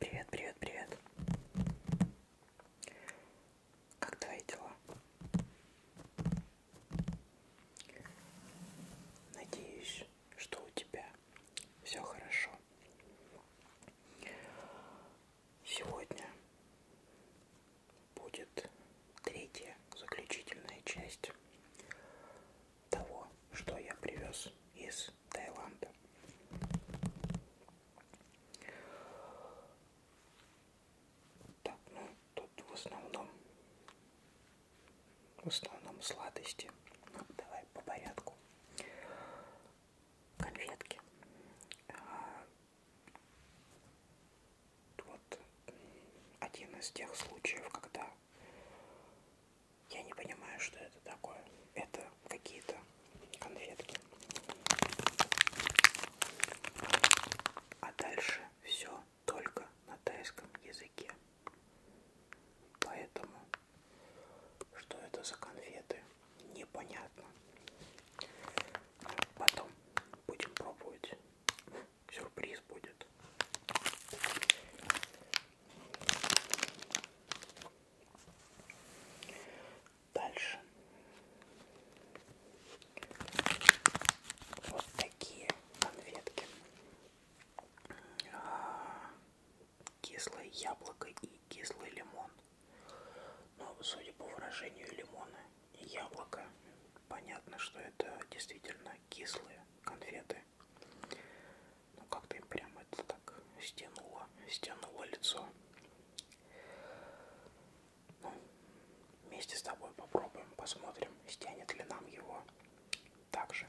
Привет, привет, привет. Как твои дела? Надеюсь, что у тебя все хорошо. Сегодня будет третья заключительная часть того, что я привез из Таиланда. Так, ну тут в основном, в основном сладости. Ну, давай по порядку. Конфетки. А, вот один из тех случаев, когда я не понимаю, что это такое. Это какие-то конфетки. А дальше все только на тайском языке. Поэтому, что это за конфеты, непонятно. Потом будем пробовать сюрприз будет. Дальше. Вот такие конфетки. А, кислое яблоко и кислый лимон. Но ну, судя по выражению лимона и яблоко, понятно, что это действительно кислые конфеты. Ну как-то им прям это так стянуло, стянуло лицо. Ну, вместе с тобой попробуем, посмотрим, стянет ли нам его также.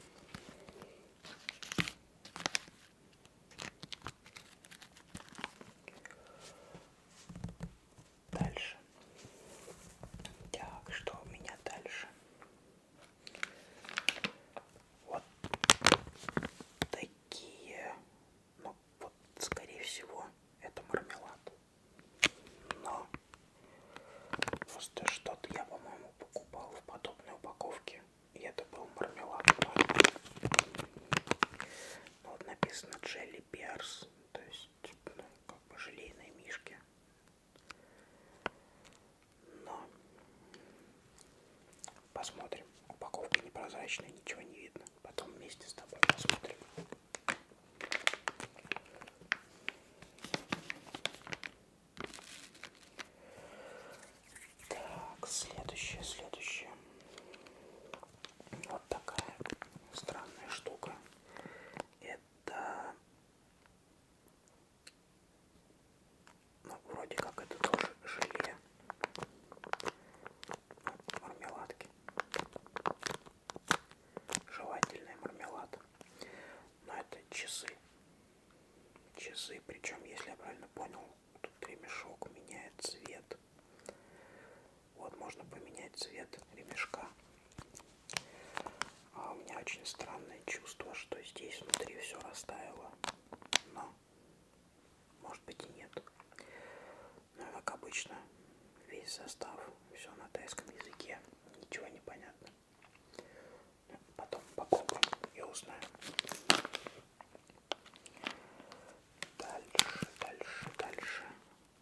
Дальше. Так, что у меня дальше? Вот такие. Ну, вот, скорее всего, это мармелад. Но просто что-то я, по-моему, покупал в подобной упаковке. И это был мармелад. Ну, вот написано Jelly Bears, то есть ну, как бы желейные мишки. Но посмотрим. Упаковка непрозрачная, ничего не видно. Потом вместе с тобой посмотрим. Так, следующее, следующее. Вот такая странная штука. Это ну, вроде как это тоже желе. Ну, мармеладки. Желательный мармелад. Но это часы. Часы, причем, если я правильно понял, тут ремешок меняет цвет. Вот, можно поменять цвет ремешка. А у меня очень странное чувство, что здесь внутри все растаяло. Но, может быть и нет. Но, ну, как обычно, весь состав, все на тайском языке, ничего не понятно. Ну, потом попробуем и узнаем. Дальше, дальше, дальше.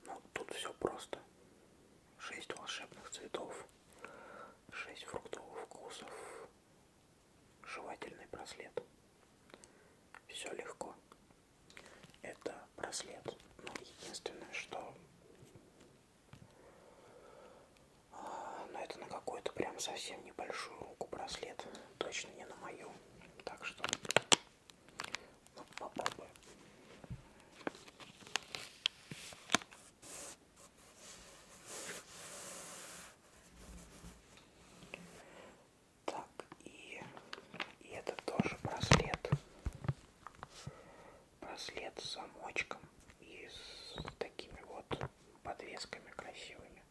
Ну, тут все просто шесть волшебных цветов, шесть фруктовых вкусов, жевательный браслет. Все легко. Это браслет. Но ну, единственное, что... А, Но ну, это на какую-то прям совсем небольшую руку браслет. Точно не на мою. Так что... Ну, попробуем. Так, и, и это тоже браслет. Браслет с замочком и с такими вот подвесками красивыми.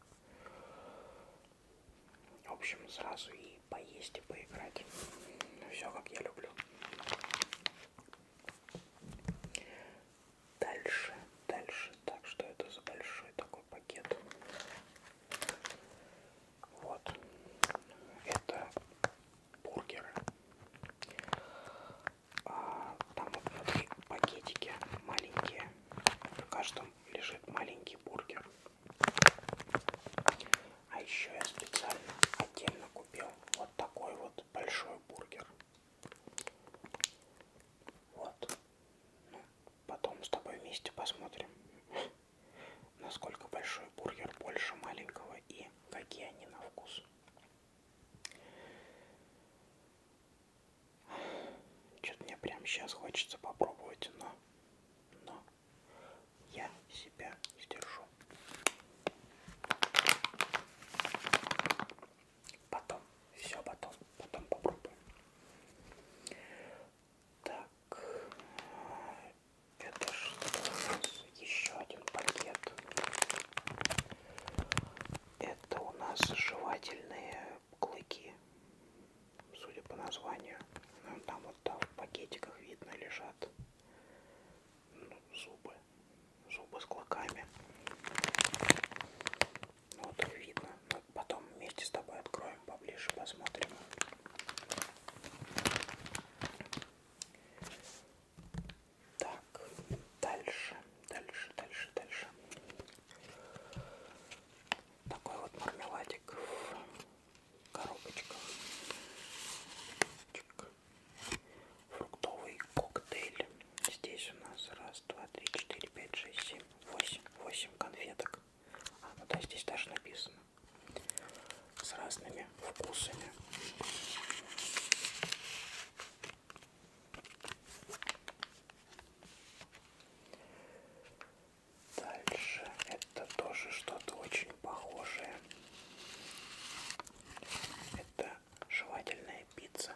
В общем, сразу и поесть, и поиграть. Все, как я люблю. Дальше, дальше. Так, что это за большой такой пакет? Вот. Это бургеры. А, там вот внутри пакетики маленькие. В каждом лежит маленький бургер. А еще я специально отдельно купил вот такой вот вот большой бургер. Вот. Ну, потом с тобой вместе посмотрим, насколько большой бургер больше маленького и какие они на вкус. Что-то мне прямо сейчас хочется попробовать, но, но я себя сдержу. Потом, все потом, потом попробуем. Так, это что у нас? Еще один пакет. Это у нас жевательные клыки, судя по названию. Ну, там вот там в пакетиках видно лежат ну, зубы зубы с клыками. Ну, вот их видно. Но ну, потом вместе с тобой откроем поближе, посмотрим. Так, дальше, дальше, дальше, дальше. Такой вот мармеладик в коробочках. Чик фруктовый коктейль. Здесь у нас раз, два, три, четыре, пять, шесть, семь, восемь, восемь конфеток. А, ну да, здесь даже написано. С разными вкусами. Дальше это тоже что-то очень похожее. Это жевательная пицца.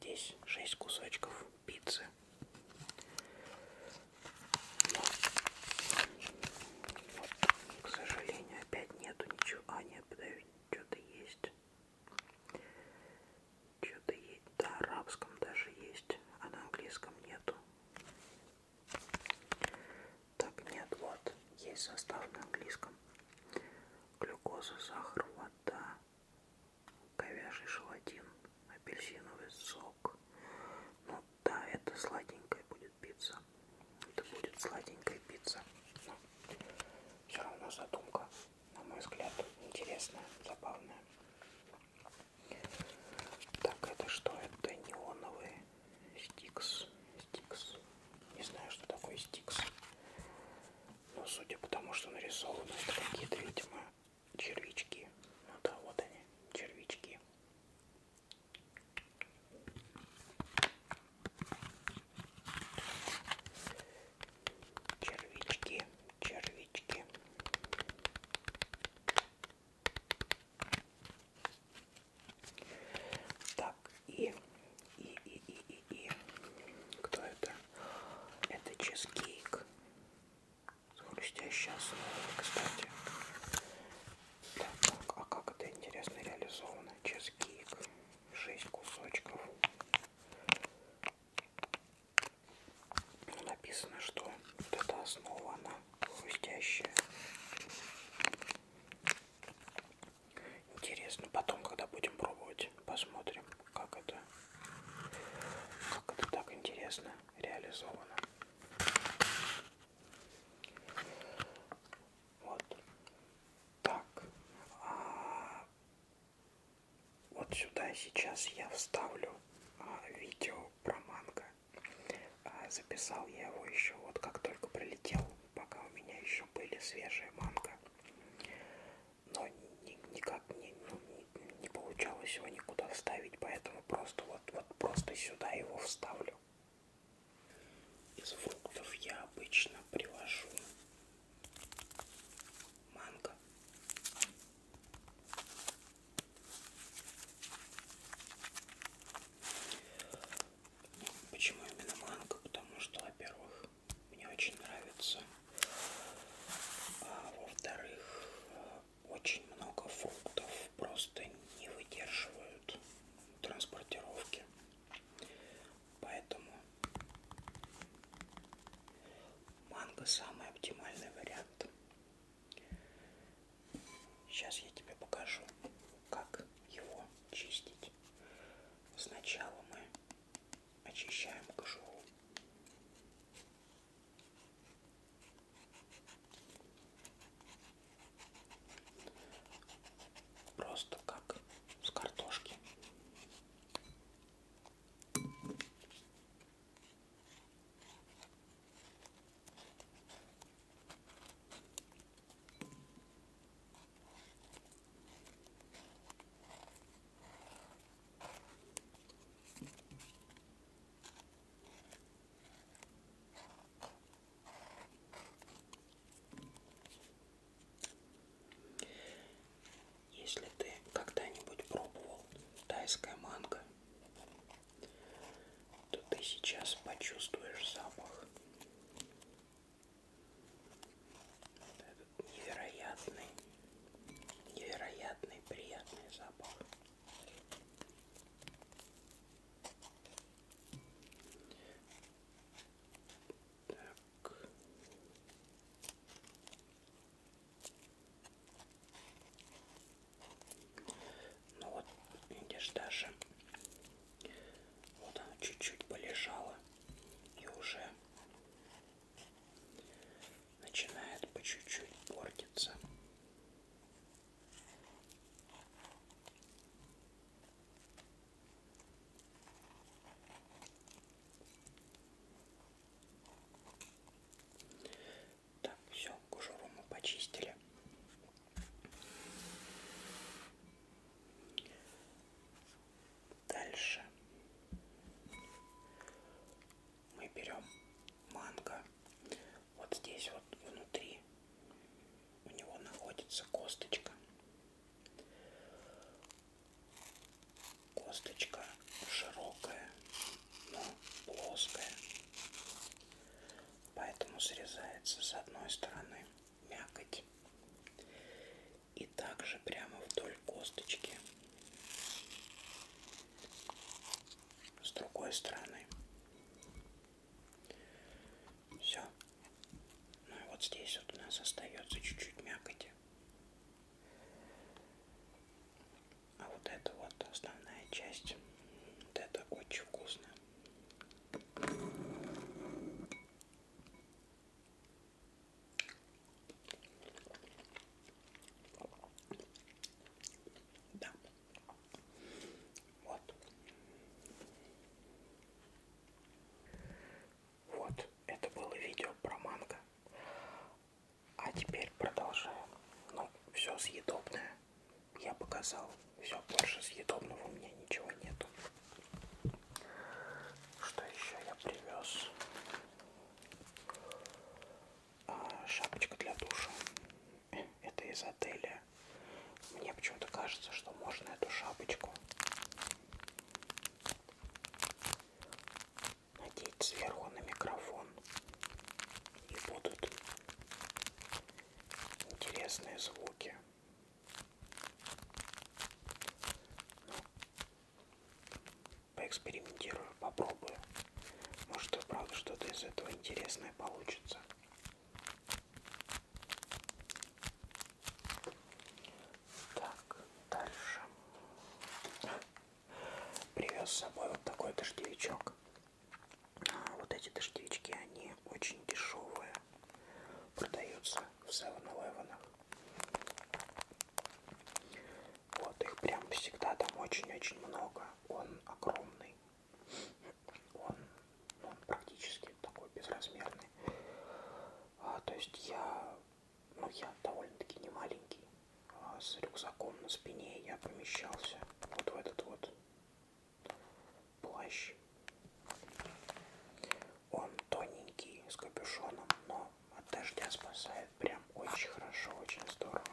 Здесь 6 кусочков пиццы. Но, вот, к сожалению, опять нету ничего. А, нет, подожди, что-то есть. Что-то есть. Да, арабском даже есть, а на английском нету. Так, нет, вот, есть состав на английском. Глюкоза, сахар, вода, говяжий желатин, апельсиновый сок. Ну да, это сладенькая будет пицца. Это будет сладенькая пицца. Но ну, все равно задумка, на мой взгляд, интересная, забавная. Так, это что? Это неоновые Стикс. Стикс. Не знаю, что такое стикс. Но судя по тому, что нарисовано, это какие-то, видимо, червячки. Ну да, вот они, червячки. Червячки, червячки. Так, и, и, и, и, и, и. Кто это? Это чизкейк. С хрустящей основой, кстати. Так, так, а как это интересно реализовано? Чизкейк. 6 кусочков. Ну, написано, что вот эта основа, она хрустящая. Интересно, потом, когда будем пробовать, посмотрим, как это, как это так интересно реализовано. Вот так. А, вот сюда сейчас я вставлю а, видео про манго. А, записал я его еще вот как только прилетел пока у меня еще были свежие манго. Но ни, никак не, ну, не, не получалось его никуда вставить, поэтому просто вот, вот просто сюда его вставлю. Из фруктов я обычно привожу манго. Почему именно манго? Потому что, во-первых, мне очень нравится, а во-вторых, очень много фруктов просто не выдерживают транспортировки. Поэтому манго самый оптимальный вариант. Сейчас я тебе покажу, как его чистить есть сначала мы очищаем кожуру. Просто как с картошки. Если ты когда-нибудь пробовал тайское манго, то ты сейчас почувствуешь запах Невероятный, невероятный приятный запах. Так. Ну вот, видишь, даже вот оно чуть-чуть полежало и уже начинает по чуть-чуть портиться. Так, все, кожуру мы почистили. Дальше мы берем манго. Вот здесь вот внутри у него находится косточка. Косточка широкая, но плоская. Поэтому срезается с одной стороны мякоть. И также прямо вдоль косточки с другой стороны. Все. Ну и вот здесь вот у нас остается чуть-чуть мякоти. А вот это вот основная часть. Вот это очень вкусно. Да. Вот. Вот, это было видео про манго. А теперь продолжаем. Ну, все съедобное я показал. Все, больше съедобного у меня ничего нету. Что еще я привез? А, шапочка для душа. Э, это из отеля. Мне почему-то кажется, что можно эту шапочку надеть сверху на микрофон. И будут интересные звуки. Поэкспериментирую, попробую. Может и правда что-то из этого интересное получится. Так, дальше. Привез с собой вот такой дождевичок. А, вот эти дождевички, они очень дешевые продаются в 7-Eleven. Вот их прям всегда там очень-очень много. Он огромный. Он, он практически такой безразмерный. А, то есть я, ну я довольно-таки не маленький. А с рюкзаком на спине я помещался вот в этот вот плащ он тоненький, с капюшоном, но от дождя спасает прям очень хорошо, очень здорово.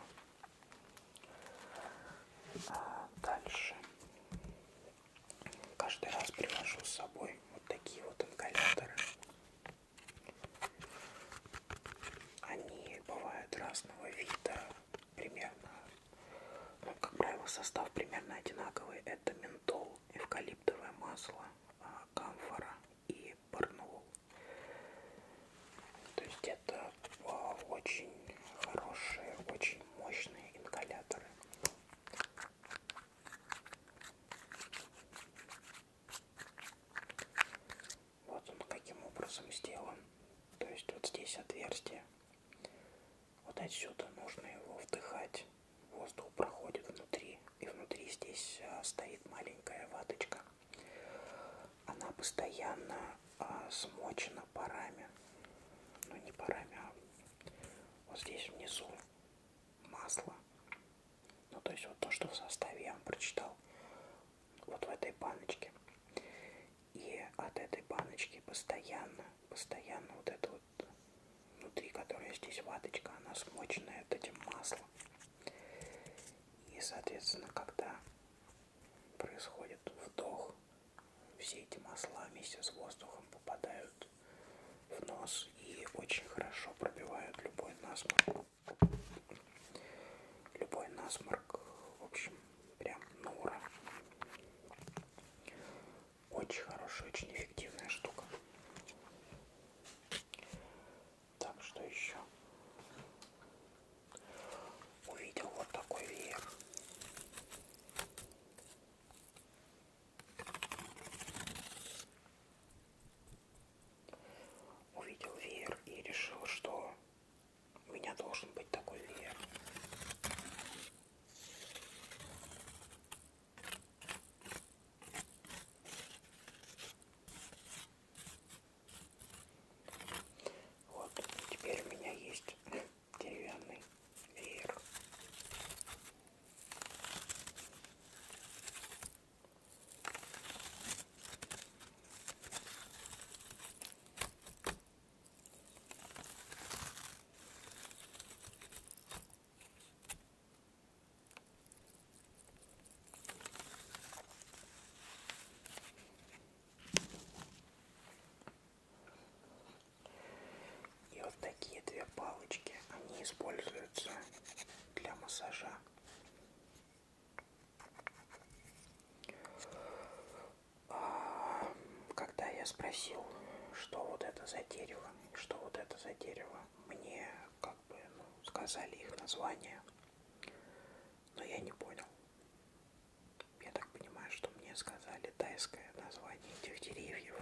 А дальше каждый раз привожу с собой вот такие вот ингаляторы. Они бывают разного вида, примерно, ну, как правило, состав примерно одинаковый. Это ментол, эвкалиптовое масло, а, камфора и барнул. То есть это а, очень хорошие, очень мощные ингаляторы. Вот он каким образом сделан. То есть вот здесь отверстие. Вот отсюда нужно его вдыхать. Воздух проходит внутри, и внутри здесь а, стоит маленькая ваточка. Она постоянно а, смочена парами. Ну не парами, а вот здесь внизу масло. Ну то есть вот то, что в составе я вам прочитал. Вот в этой баночке. И от этой баночки постоянно, постоянно вот это вот внутри которой здесь ваточка, она смоченная вот этим маслом. И, соответственно, когда происходит вдох, все эти масла вместе с воздухом попадают в нос и очень хорошо пробивают любой насморк. Любой насморк, в общем, прям на ура. Очень хорошая, очень эффективная штука. Так, что еще? Увидел вот такой веер. Увидел веер и решил, что у меня должен быть такой веер. Вот, теперь у меня есть деревянный веер. И вот такие две палочки, они используются для массажа. А, когда я спросил, что вот это за дерево, что вот это за дерево. Мне как бы ну, сказали их название, но я не понял. Я так понимаю, что мне сказали тайское название этих деревьев.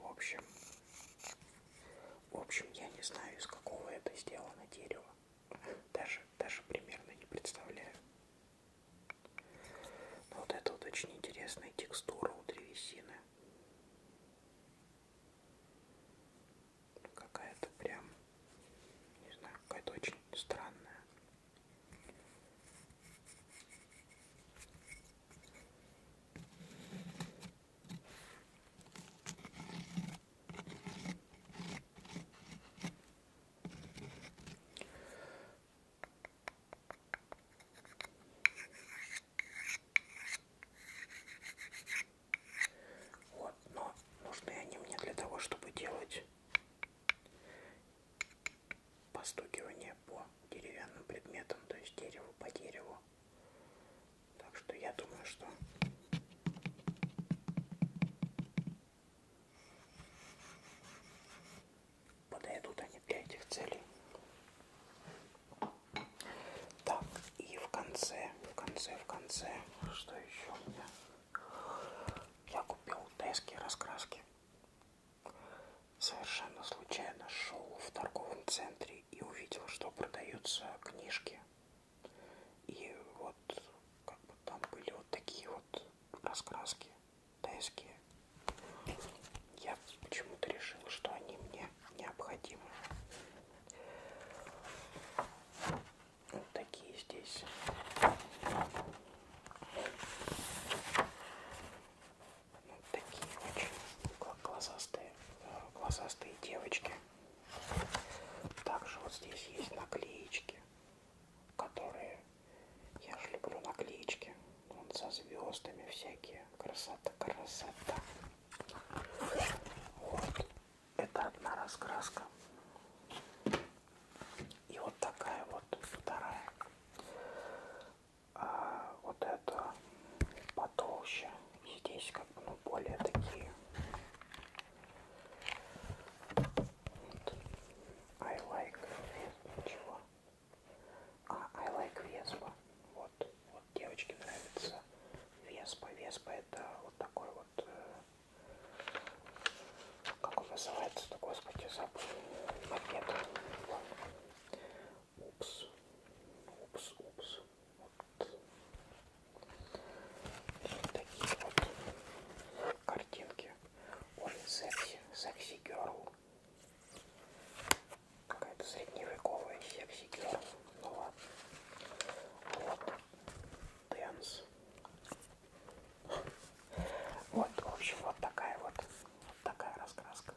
В общем, в общем, я не знаю, из какого это сделано дерево. Даже, даже примерно не представляю. Но ну, вот это вот очень интересная текстура у древесины. Какая-то прям, не знаю, какая-то очень странная. Вот, но нужны они мне для того, чтобы делать постукивание по деревянным предметам, то есть дереву по дереву. Так что я думаю, что подойдут они для этих целей. Так, и в конце, в конце, в конце, что еще у меня? Я купил тайские раскраски. Совершенно случайно шел в торговом центре и увидел, что продаются книжки. И вот как бы там были вот такие вот раскраски. ТСГ. Я почему-то решил, что они мне необходимы. Вот такие здесь. Вот такие очень глазастые, э, глазастые девочки. Также вот здесь есть наклеечки, которые я же люблю наклеечки. Он со звездами всякие. Красота, красота. Вот. Это одна раскраска. И вот такая вот вторая. А вот это потолще. И здесь как бы ну, более такие. Вот. I like. Ничего. А I like Vespa. Вот, вот девочке нравится Веспа. Веспа это вот такой вот, э, как он называется-то, господи, забыл, мопед. Упс, упс, упс. Вот. вот такие вот картинки. Ой, секси, секси герл. Какая-то средневековая секси-герл. Ну ладно. Вот. Дэнс. Вот, в общем, вот такая вот, вот такая раскраска.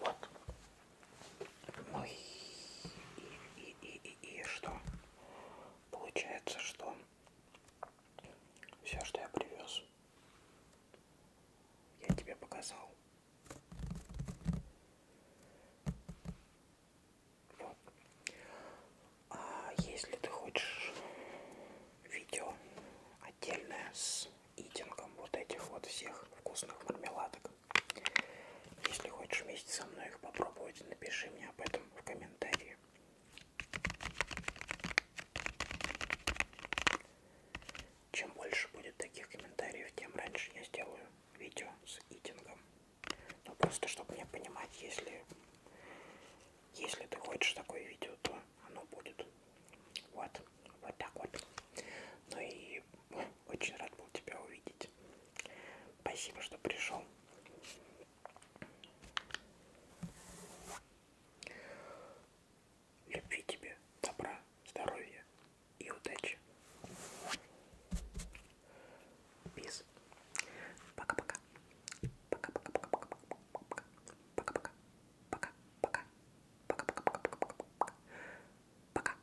Вот. Ну и, и, и, и, и, и что? Получается, что все, что я привез, я тебе показал. Вот. А если ты хочешь видео отдельное с итингом вот этих вот всех вкусных мармеладок, если хочешь вместе со мной их попробовать, напиши мне об этом этом в комментарии. Чем больше будет таких комментариев, тем раньше я сделаю видео с итингом. Ну просто, чтобы мне понимать, если, если ты хочешь такое видео, то оно будет. Вот, вот так вот. Ну и очень рад был тебя увидеть. Спасибо, что пришел. Любви тебе, добра, здоровья и удачи. Пис. Пока-пока. Пока-пока-пока-пока. Пока-пока. Пока-пока. Пока-пока-пока-пока. Пока.